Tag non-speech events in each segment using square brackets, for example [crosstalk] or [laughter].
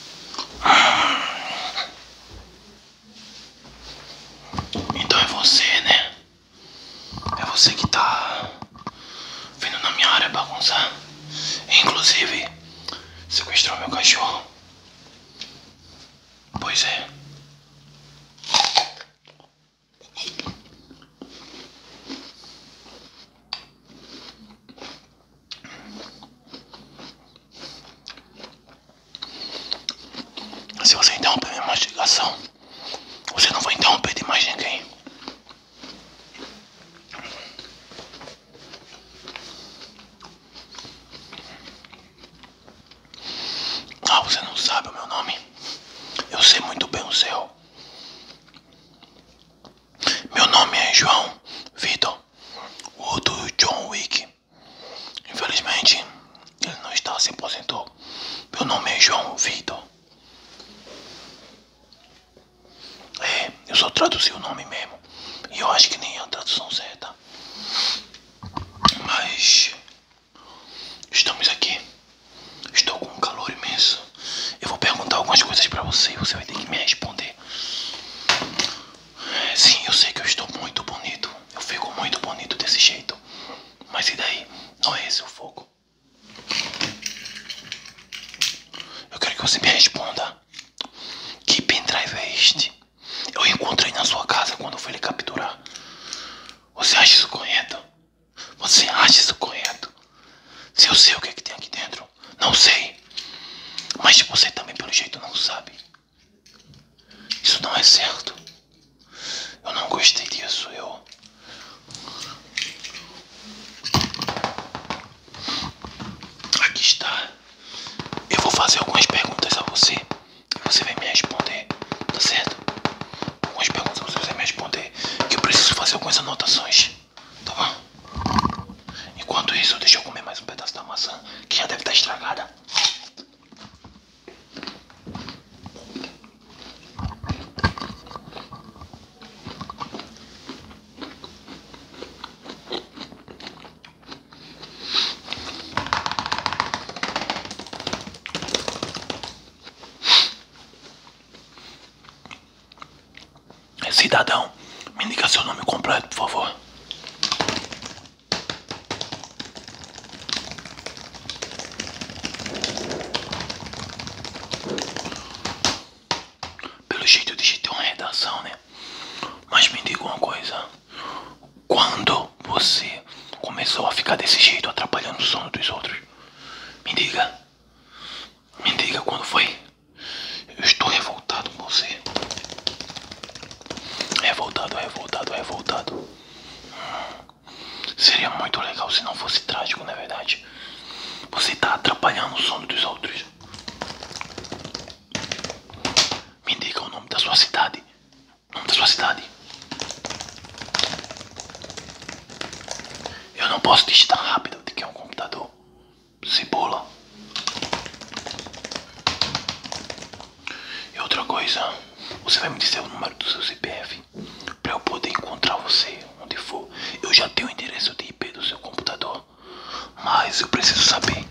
[sighs] Então é você, né? É você que tá vindo na minha área bagunçar. Inclusive, sequestrou meu cachorro. Pois é. Se você interromper minha mastigação, você não vai interromper de mais ninguém. Ah, você não sabe o meu nome? Eu sei muito bem o seu. Meu nome é João Vitor o do John Wick. Infelizmente, ele não está, se aposentou. Meu nome é João Vitor. É, eu só traduzi o nome mesmo. E eu acho que nem é a tradução certa. Mas estamos aqui. Estou com um calor imenso. Eu vou perguntar algumas coisas para você e você vai ter que me responder. Sim, eu sei que eu estou muito bonito. Eu fico muito bonito desse jeito. Mas e daí? Não é esse o foco. Eu quero que você me responda. Que pendrive é este? Eu encontrei na sua casa quando fui lhe capturar. Você acha isso correto? Você acha isso correto? Se eu sei o que é tem aqui dentro. Não sei. Mas você também, pelo jeito, não sabe. Isso não é certo. Eu não gostei disso. Eu. Aqui está. Eu vou fazer algumas perguntas a você. E você vai me responder. Tá certo? Algumas perguntas você vai me responder. Que eu preciso fazer algumas anotações. Tá bom? Enquanto isso, deixa eu comer mais um pedaço da maçã que já deve estar tá estragada. Cidadão, me diga seu nome completo, por favor. Pelo jeito eu digitei uma redação, né? Mas me diga uma coisa. Quando você começou a ficar desse jeito, atrapalhando o sono dos outros? Me diga. Me diga quando foi. Eu estou revoltado com você. Revoltado, revoltado, revoltado. Seria muito legal se não fosse trágico, na é verdade. Você está atrapalhando o sono dos outros. Me diga o nome da sua cidade. O nome da sua cidade. Eu não posso digitar rápido, O que é um computador. Cebola. E outra coisa, você vai me dizer o número do seu CPF para eu poder encontrar você onde for. Eu já tenho o endereço de IP do seu computador, mas eu preciso saber.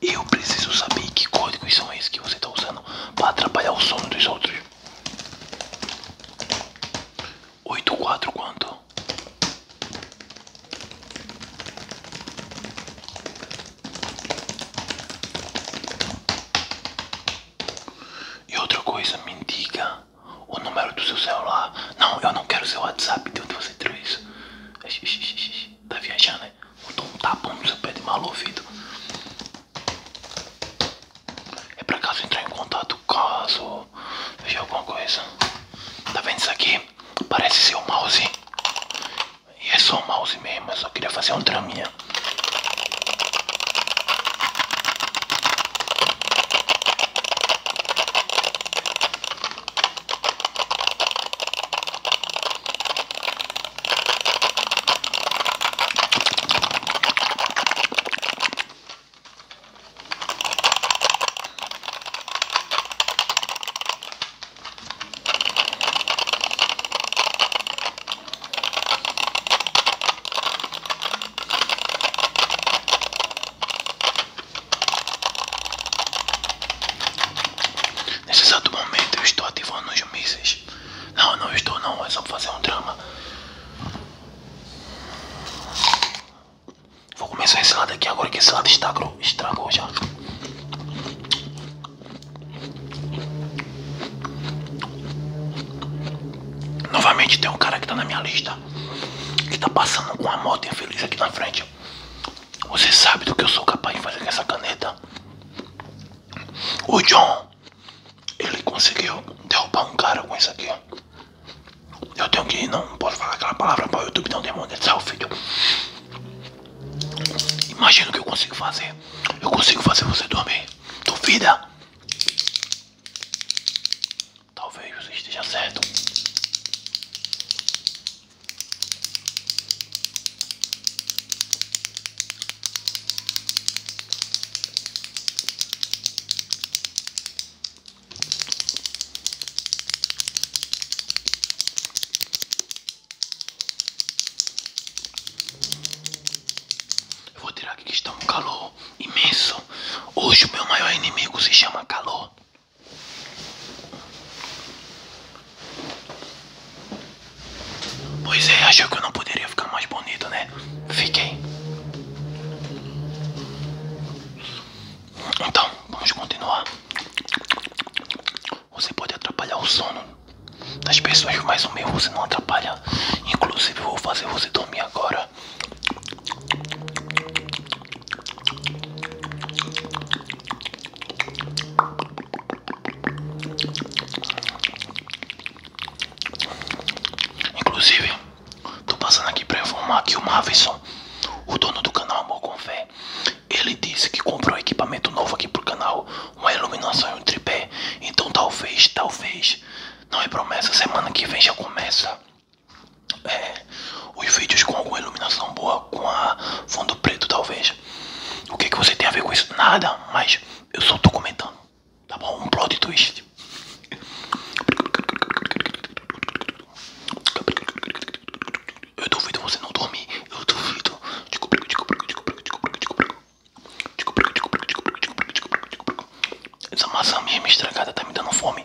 Eu preciso saber que códigos são esses que você está usando para atrapalhar o sono dos outros. 84 quanto? E outra coisa, me diga o número do seu celular. Não, eu não quero seu WhatsApp, de onde você tirou isso? Tá viajando, né? Botou um tapão no seu pé de mal ouvido. É pra caso entrar em contato caso veja alguma coisa. Tá vendo isso aqui? Parece ser um mouse. E é só um mouse mesmo, só queria fazer um draminha. Nesse exato momento eu estou ativando os mísseis. Não, não estou não, é só fazer um drama. Vou começar esse lado aqui agora que esse lado estragou, estragou já. Novamente tem um cara que tá na minha lista. Que tá passando com uma moto infeliz aqui na frente. Você sabe do que eu sou capaz de fazer com essa caneta. O John. Ele conseguiu derrubar um cara com isso aqui, Eu tenho que ir, não posso falar aquela palavra para o YouTube não demonetizar é o vídeo. Imagina o que eu consigo fazer. Eu consigo fazer você dormir. Duvida? Talvez você esteja certo. Eu vou tirar aqui que está um calor imenso. Hoje o meu maior inimigo se chama calor. Pois é, achou que eu não poderia ficar mais bonito, né? É, fiquei. Então, vamos continuar. Você pode atrapalhar o sono das pessoas, mas o meu você não atrapalha. Inclusive, vou fazer você dormir agora. Inclusive, tô passando aqui pra informar que o Mavison, o dono do canal Amor com Fé, ele disse que comprou um equipamento novo aqui pro canal, uma iluminação e um tripé. Então talvez, talvez, não é promessa, semana que vem já começa é, os vídeos com alguma iluminação boa, com a fundo preto talvez. O que, que você tem a ver com isso? Nada, mas eu só tô comentando. Tá bom? Um produto twist. Eu duvido você não dormir. Eu duvido. Essa maçã mesmo estragada tá me dando fome.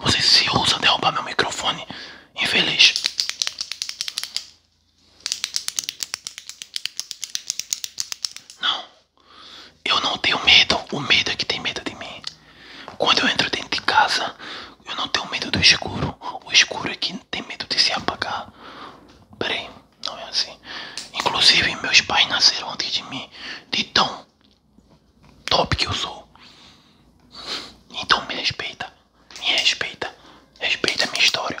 Você se ousa derrubar meu microfone, infeliz. Não, eu não tenho medo. O medo é que tem medo de mim. Quando eu entro dentro de casa, eu não tenho medo do escuro. O escuro é que tem medo de se apagar. Peraí não é assim. Inclusive, meus pais nasceram antes de mim, de tão top que eu sou. Então me respeita, me respeita, respeita a minha história.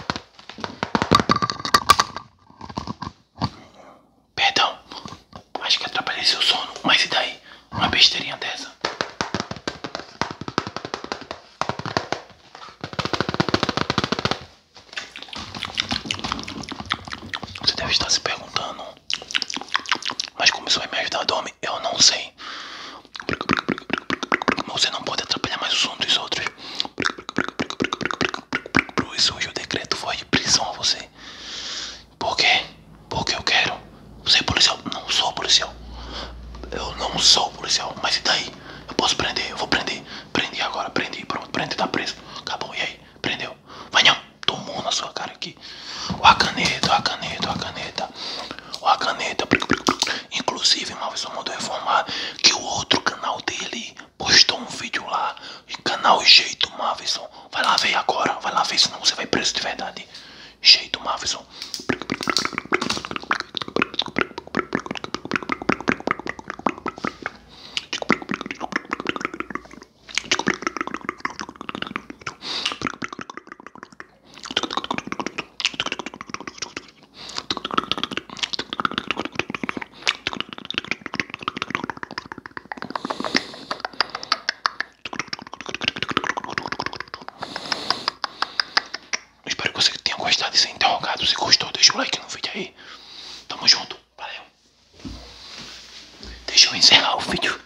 Perdão, acho que atrapalhei seu sono, mas e daí? Uma besteirinha dessa. Você deve estar se perguntando, mas como isso vai me ajudar a dormir? eu não sei. Você não pode atrapalhar mais o som dos outros. isso o decreto foi de prisão a você. Por quê? Porque eu quero. Você é policial? Não sou policial. Eu não sou policial. Mas e daí? Eu posso prender, eu vou prender. Prendi agora, prendi, pronto, prendi, tá preso. Acabou, e aí? Prendeu. Vai não, tomou na sua cara aqui. O a caneta, a caneta, a caneta caneta. a caneta. Inclusive, o Maurício mandou informar que o outro canal dele postou um vídeo lá. Canal Jeito Mavison. Vai lá ver agora. Vai lá ver, não você vai preso de verdade. Jeito Mavison. Espero que você tenha gostado de ser interrogado. Se gostou, deixa o like no vídeo aí. Tamo junto. Valeu. Deixa eu encerrar o vídeo.